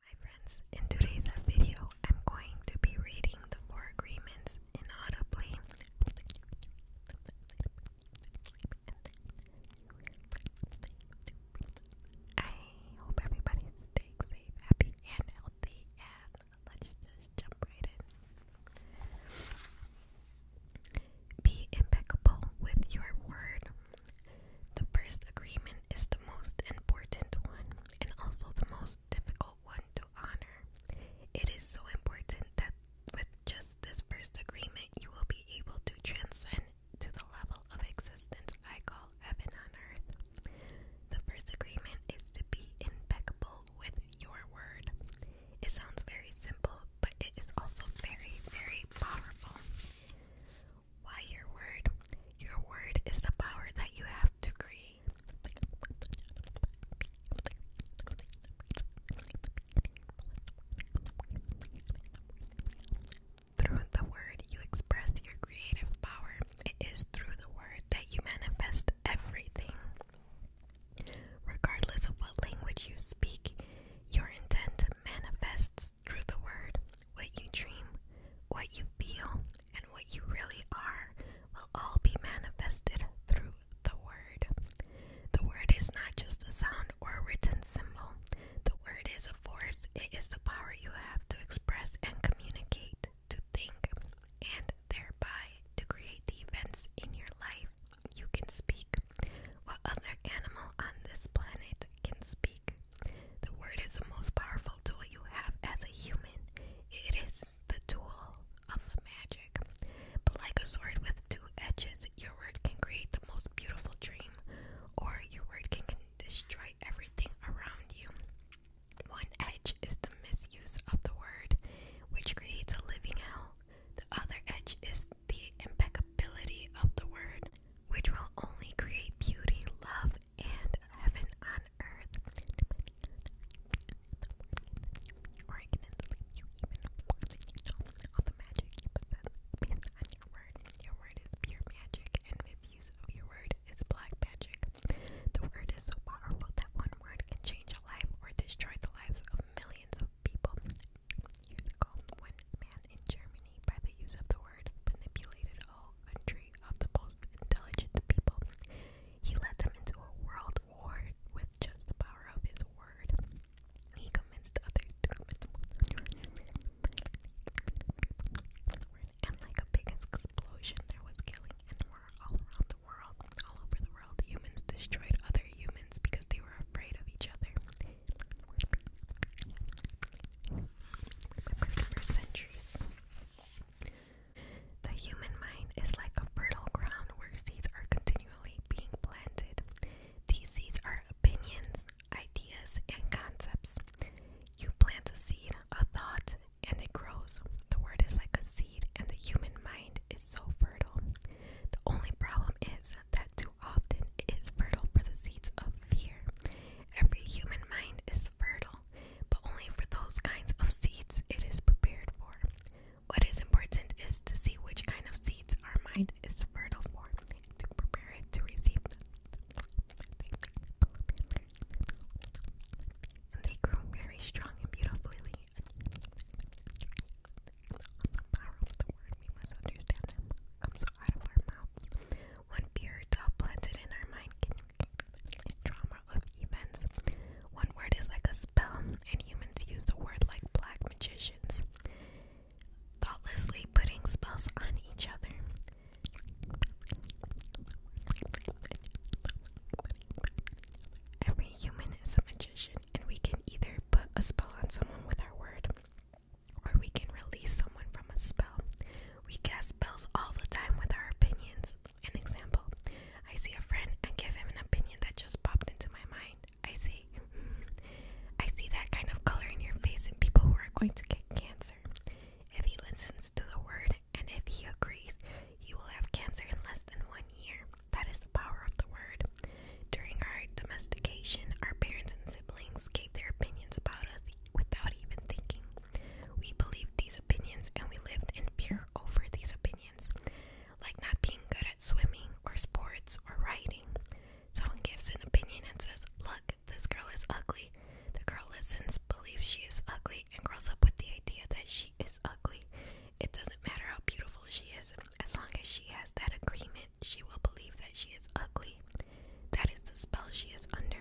Hi friends, in today's video, I'm going to be reading the four agreements inaudibly. I hope everybody's staying safe, happy, and healthy, and let's just jump right in. Be impeccable with your word. The first agreement is the most important one and also the most difficult one to honor. It is so important that with just this first agreement, you will be able to transcend to the level of existence I call heaven on earth. The first agreement is to be impeccable with your word. It sounds very simple, but it is also very, very powerful. Why your word? Your word is the power that you have to create. Through the word, you express your creative power. It is through the word that you manifest everything. Regardless of what language you speak, your intent manifests through the word. What you dream, what you feel, and what you really are will all be manifested through the word. The word is not just a sound or a written symbol. The word is a force. It is the power you have to express and communicate, to think, and thereby to create the events in your life. You can speak. What other animal on this planet can speak? The word is the most powerful tool you have as a human. It is the tool of magic. But like a sword with two edges, your word can create the most beautiful dream, or your word can, can destroy everything around you. One edge is the misuse of the word, which creates a living hell. The other edge is the impeccability of the word, which will only create beauty, love, and heaven on earth. Or I All the magic you possess based on your word. Your word is pure magic, and misuse of your word is black magic. The word is so powerful that one word can change a life or destroy the lives of millions of people. Years ago, one man in Germany, by the use of the word, manipulated all country of the most intelligent people. He led them into a world war with just the power of his word. He convinced others and like a big explosion, there was killing and war all around the world. All over the world, humans destroyed other humans because they were afraid of each other for centuries. The human mind is like a fertile ground where seeds are continually being planted. These seeds are opinions, ideas, and concepts. You plant a seed, a thought, and it grows. The word is like a seed, and the human mind is so fertile. The only problem is that too often it is fertile for the seeds of fear, Every human mind is fertile, but only for those kinds of seeds it is prepared for. What is important is to see which kind of seeds our mind is fertile for, to prepare it to receive they grew very strong and beautifully. When periods are planted in our mind can trauma of events. One word is like a spell, and humans use the word like black magicians, thoughtlessly putting spells on each other. Every human is a magician, and we can either put a spell on someone with our word or we can release someone from a spell. We cast spells all the time with our opinions. An example I see a friend and give him an opinion that just popped into my mind. I see, I see that kind of color in your face and people who are going to get cancer. If he listens to the word and if he agrees, he will have cancer in less than one year. That is the power of the word. During our domestication, our parents and siblings gave their opinions about us without even thinking. We believe these opinions and we live in fear over these opinions, like not being good at swimming or sports or writing. Someone gives an opinion and says, Look, this girl is ugly. The girl listens, believes she is ugly, and grows up with the idea that she is ugly. It doesn't matter how beautiful she is, as long as she has that agreement, she will believe that she is ugly. That is the spell she is under.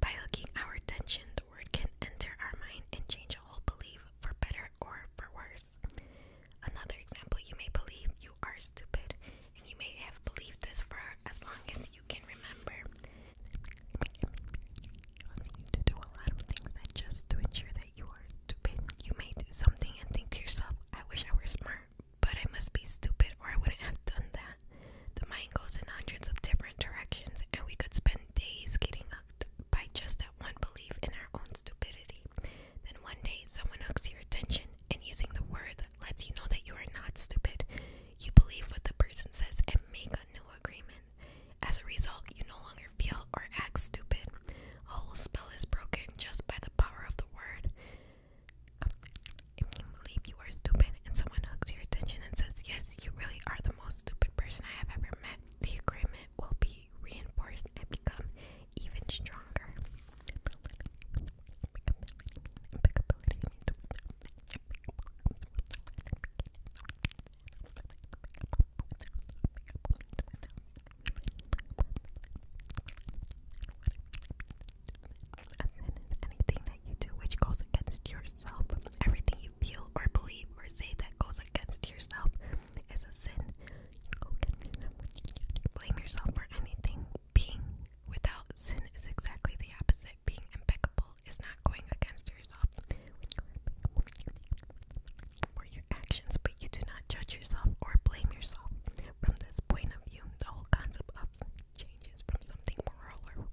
By hooking our attention, word can enter our mind and change a whole belief for better or for worse. Another example, you may believe you are stupid, and you may have believed this for as long as you can remember. to do a lot of things just to ensure that you are stupid. You may do something and think to yourself, I wish I were smart but I must be stupid or I wouldn't have done that. The mind goes in hundreds of different directions, and we could spend days getting hooked by just that one belief in our own stupidity. Then one day, someone hooks your attention and using the word lets you know that you are not stupid. You believe what the person says and make a new agreement. As a result, you no longer feel or act stupid. A whole spell is broken just by the power of the word. If you believe you are stupid and someone hooks your attention and says, Yes, you really are the most stupid person I have ever met, the agreement will be reinforced and become even stronger anything that you do which goes against yourself. Everything you feel or believe or say that goes against yourself is a sin. blame yourself for anything. Being without sin is exactly the opposite. Being impeccable is not going against yourself. Or your actions, but you do not judge yourself or blame yourself. From this point of view, the whole concept of changes from something moral or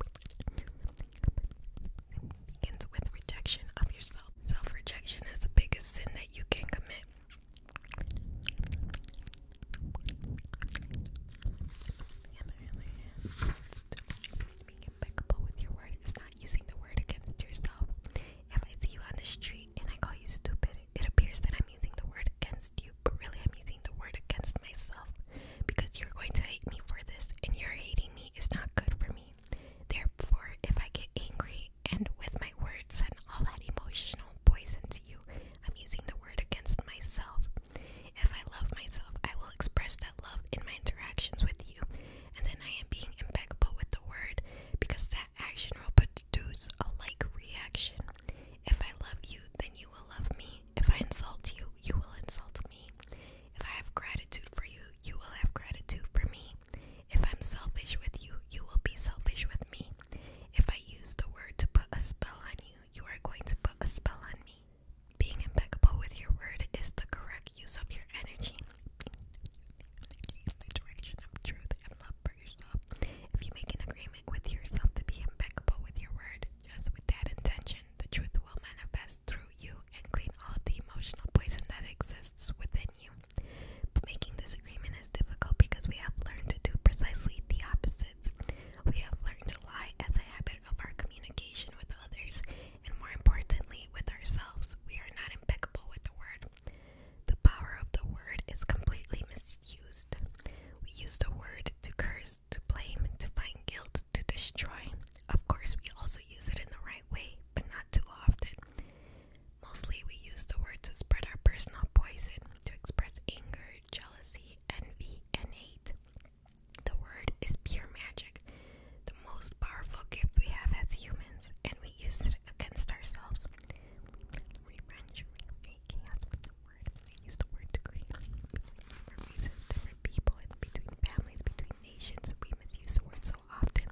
begins with rejection of yourself. Self rejection is the biggest sin that you can commit. Being impeccable with your word is not using the word against yourself. If I see you on the street and I call you stupid, it appears that I'm using the word against you but really I'm using the word against myself because you're going to hate me for this, and your hating me is not good for me. Therefore, if I get angry and with my words send all that emotional poison to you, I'm using the word against myself. If I love myself, I will express that love in my interactions with you, and then I am being impeccable with the word because that action will produce a like reaction. If I love you, then you will love me. If I insult you, you will insult me. If I have gratitude for you, you will have gratitude for me. If I'm selfish with you, you will be selfish with me. If I use the word to put a spell on you, you are going to put a spell on me. Being impeccable with your word is the correct use of your energy. In of truth and love for yourself. If you make an agreement with yourself to be impeccable with your word, just with that intention, the truth will manifest through you and clean all of the emotional poison that exists within you. But making this agreement is difficult because we have learned to do precisely the opposite. We have learned to lie as a habit of our communication with others, and more importantly, with ourselves. We are not impeccable with the word. The power of the word is completely misused. We use the word to curse, to blame, to find guilt, to destroy. Of course, we also use it in the right way, but not too often. Mostly, we use the word to spread our personal poison, to express anger, jealousy, envy, and hate. The word is pure magic, the most powerful gift we have as humans, and we use it against ourselves. Revenge, word. I use the word to create different reasons, different people, and between families, between nations. We misuse the word so often.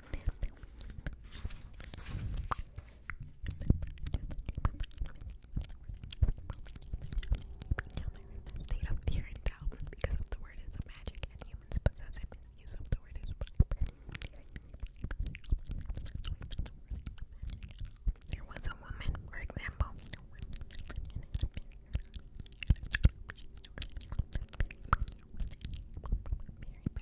State of fear and doubt because of the word is magic and humans possess a misuse of the word is. There was a woman, for example. Very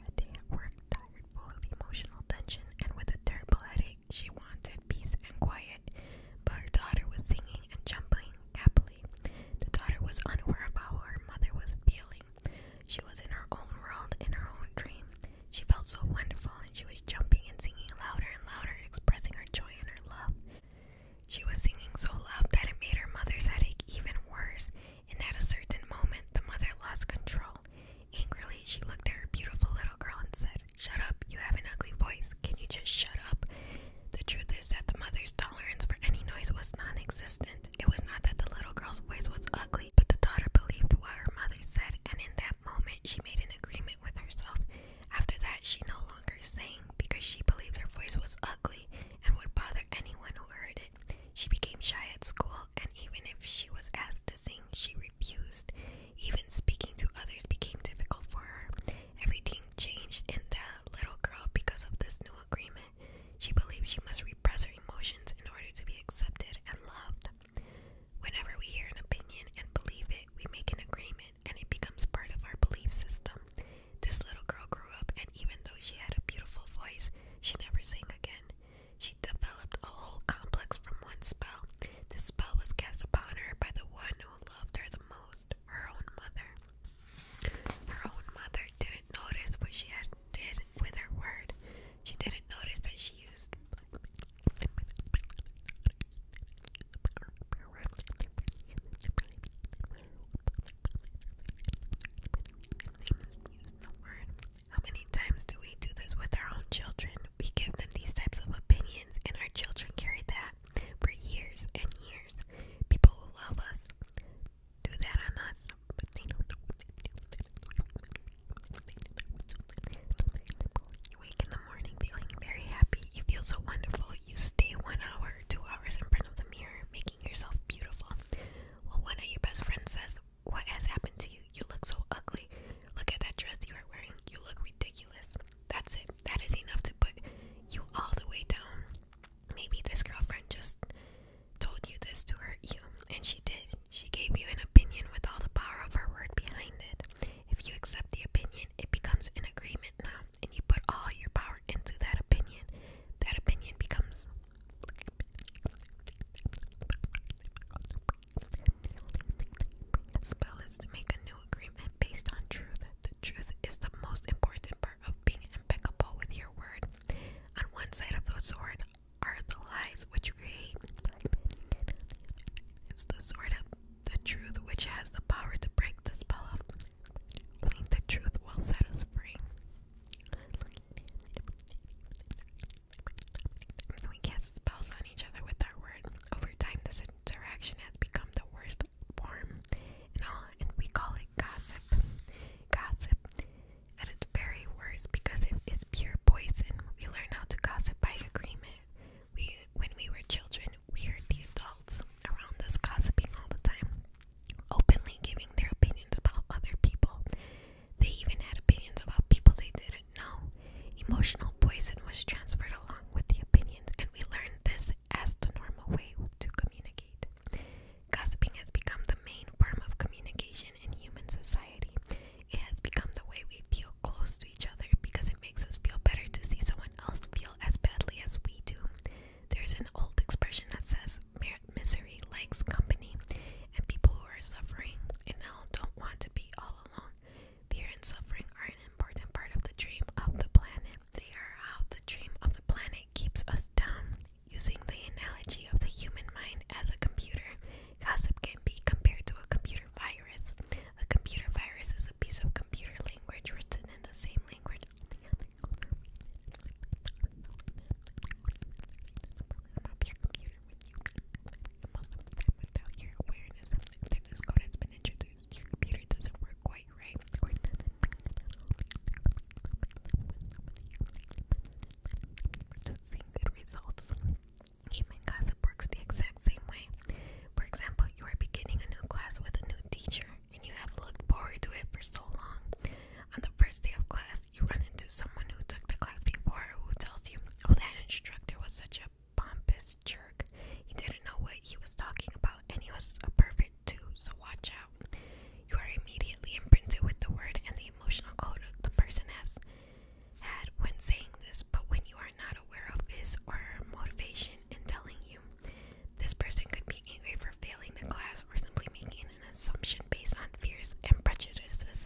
bad day at work, tired, full of emotional tension, and with a terrible headache. She wanted peace and quiet, but her daughter was singing and jumping happily. The daughter was unaware of how her mother was feeling. She was in her own world, in her own dream. She felt so wonderful she was jumping and singing louder and louder, expressing her joy and her love. She was singing so loud that it made her mother's headache even worse, and at a certain moment, the mother lost control. Angrily, she looked at her beautiful little girl and said, Shut up, you have an ugly voice. Can you just shut up? The truth is that the mother's tolerance for any noise was non existent. It was not that the little girl's voice was ugly, but the daughter believed what her mother said, and in that moment, she made an agreement with herself. After that, she no longer sang because she believed her voice was ugly and would bother anyone who heard it. She became shy at school, and even if she was asked to sing, she refused. Even speaking to others became difficult for her. Everything changed in the little girl because of this new agreement. She believed she must repress her emotions in order to be accepted and loved. Whenever we hear an opinion and believe it, we make an agreement and it becomes part of our belief system. This little girl grew up, and even though she had a beautiful voice, she never sang again. She developed a whole complex from one spell. The spell was cast upon her by the one who loved her the most, her own mother. Her own mother didn't notice what she had did with her word. She didn't notice that she used Misuse the How many times do we do this with our own children? We give them these types of opinions, and our children carry that for years and years. People who love us do that on us, you wake in the morning feeling very happy. You feel so wonderful. You stay one hour, two hours in front of the mirror, making yourself beautiful. Well, one of your best friends says, What has happened to you? You look so ugly. Look at that dress you are wearing. You look ridiculous. That's it. That is enough to put you all the way down. Maybe this girlfriend just told you this to hurt you, and she did. She gave you an opinion with all the power of her word behind it. If you accept the opinion, it becomes an agreement now, and you put all your power into that opinion. That opinion becomes spell is to make a new agreement based on truth. The truth is the most important part of being impeccable with your word. On one side of the sword are the lies which create. It's the sword of the truth, which has the power to break the spell of the truth, will set us free. So we cast spells on each other with our word. Over time, this interaction has become the worst form and we call it gossip. Gossip at its very worst because it is pure poison. We learn how to gossip by agreement. We, when we were children, we heard the adults around us gossiping all the time, openly giving their opinions about other people. They even had opinions about people they didn't know. Emotional poison was transferred along with the opinions, and we learned this as the normal way to communicate. Gossiping has become the main form of communication in human society. It has become the way we feel close to because it makes us feel better to see someone else feel as badly as we do. There's an old expression that says misery likes company, and people who are suffering and now don't want to be all alone. Fear and suffering are an important part of the dream of the planet. They are how the dream of the planet keeps us down. Using the analogy of the human mind as a computer, gossip can be compared to a computer virus. A computer virus is a piece of computer language written in the same language. Most of the time, without your awareness, this code has been introduced, your computer doesn't work quite right. Or to good results. Even gossip works the exact same way. For example, you are beginning a new class with a new teacher and you have looked forward to it for so long. On the first day of class, you run into someone who took the class before who tells you, Oh, that instructor was such a pompous jerk. He didn't know what he was talking about and he was a perfect too, so watch out. You are immediately imprinted with the word and the emotional code the person has had when saying this, but when you are are not aware of his or her motivation in telling you. This person could be angry for failing the class or simply making an assumption based on fears and prejudices.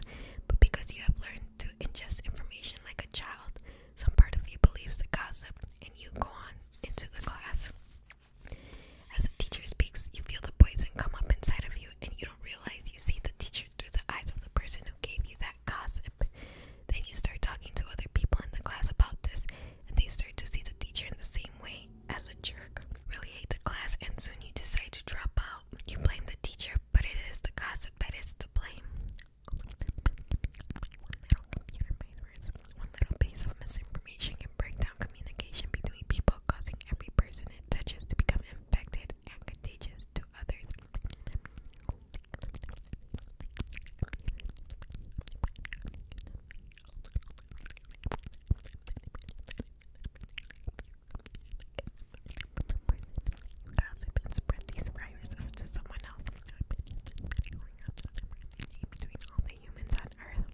But because you have learned to ingest information like a child, some part of you believes the gossip and you go on into the class. As the teacher speaks, you feel the poison come up inside of you and you don't realize you see the teacher through the eyes of the person who gave you that gossip him. Then you start talking to other people in the class about this, and they start to see the teacher in the same way as a jerk. Really hate the class, and soon you decide to drop out. You blame the teacher, but it is the gossip that is to blame. One little computer virus, one little piece of misinformation can break down communication between people, causing every person it touches to become infected and contagious to others. As I can spread these viruses to someone else. Between all the humans on Earth,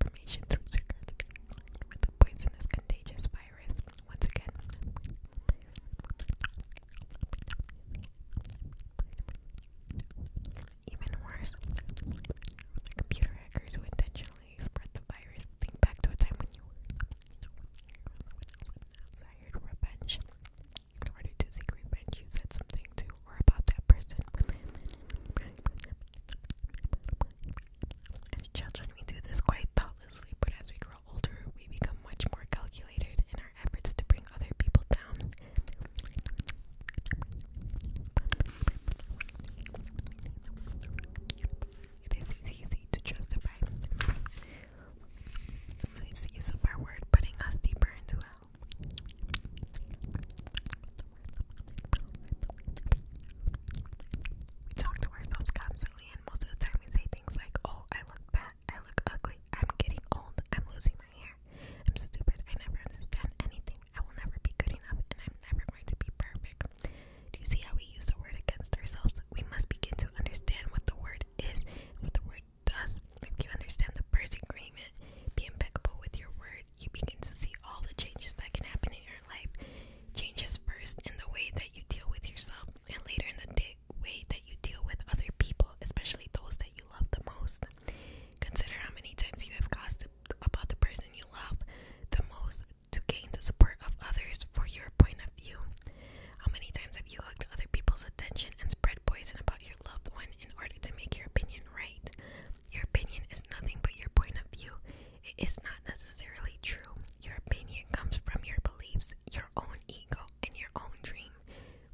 information through circuits. The poison is contagious virus. Once again, even worse, computer hackers who intentionally spread the virus. Think back to a time when you desired revenge. In order to seek revenge, you said something to or about that person. As children, we do this quite thoughtlessly, but as we grow older, we become much more calculated in our efforts to bring other people down. It is easy to justify nice use of our word, putting us deeper into hell. talk to ourselves constantly most of the time we say things like, "Oh, I look bad. I look ugly. I'm getting old. I'm losing my hair. I'm stupid. I never understand anything. I will never be good enough, and I'm never going to be perfect." Do you see how we use the word against ourselves? We must begin to understand what the word is what the word does. If you understand the first agreement, be impeccable with your word. You begin to see all the changes that can happen in your life. Changes first in the way that you deal with yourself and later in the day, way that you deal with other people, especially those that you love the most. Consider how many times you have gossiped about the person you love the most to gain the support of others for your point of view. How many times have you hugged other people's attention and spread poison about your loved one in order to make your opinion right? Your opinion is nothing but your point of view. It is not necessarily true. Your opinion comes from your beliefs, your own ego, and your own dream.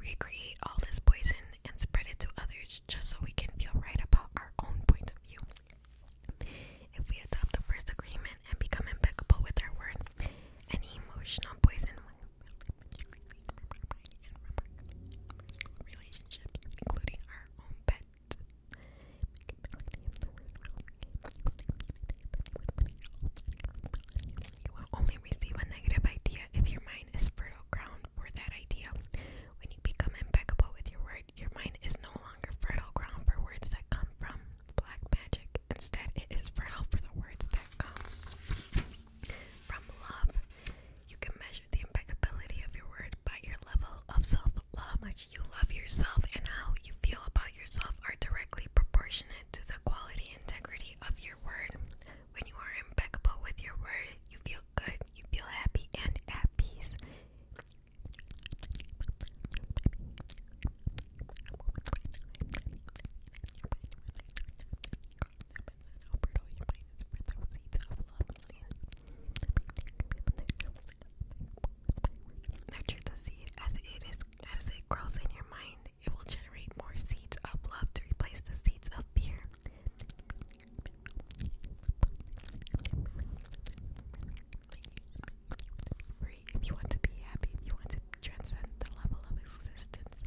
We all this poison and spread it to others just so we can feel right about our own point of view. If we adopt the first agreement and become impeccable with our word, any emotional poison will including our own pet. You will only receive a negative idea if your mind is fertile ground for that idea. When you become impeccable with your word, your mind is no longer fertile ground for words that come from black magic. Instead, it is fertile for the words that come from love. You can measure the impeccability of your word by your level of self love. Much you love yourself and how you feel about yourself are directly proportionate to the quality and integrity of your word. When you are impeccable with your word, you feel good, you feel happy, and at peace. As it grows in your mind. It will generate more seeds of love to replace the seeds of fear. If you want to be happy, if you want to transcend the level of existence.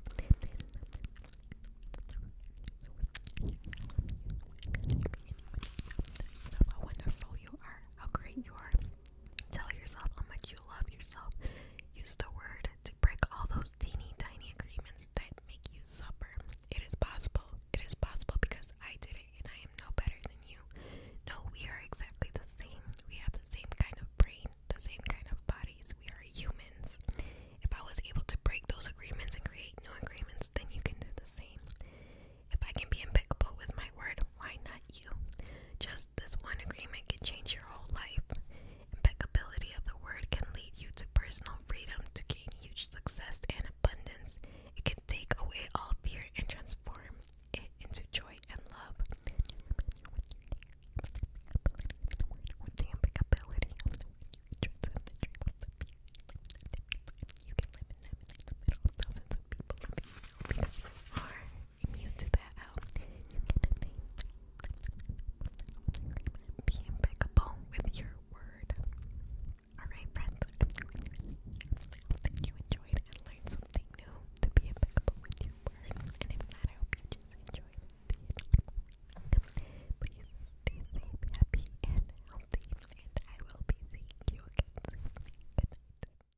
How wonderful you are, how great you are. Tell yourself how much you love yourself. Use the word to break all those teeny tiny agreements that make you suffer. It is possible. It is possible because I did it and I am no better than you. No, we are exactly the same. We have the same kind of brain, the same kind of bodies. We are humans. If I was able to break those agreements and create new agreements, then you can do the same. If I can be impeccable with my word, why not you? Just this one agreement can change your whole life. Impeccability of the word can lead you to personal freedom, to gain huge success and abundance. It can take away all fear and transform it into joy and love immune to that out. You Be impeccable with your word. Alright, friends. Hope you enjoyed and learned something new to be impeccable with your word. And if not, I hope you just enjoyed the Please stay happy, and healthy. And I will be seeing you again soon.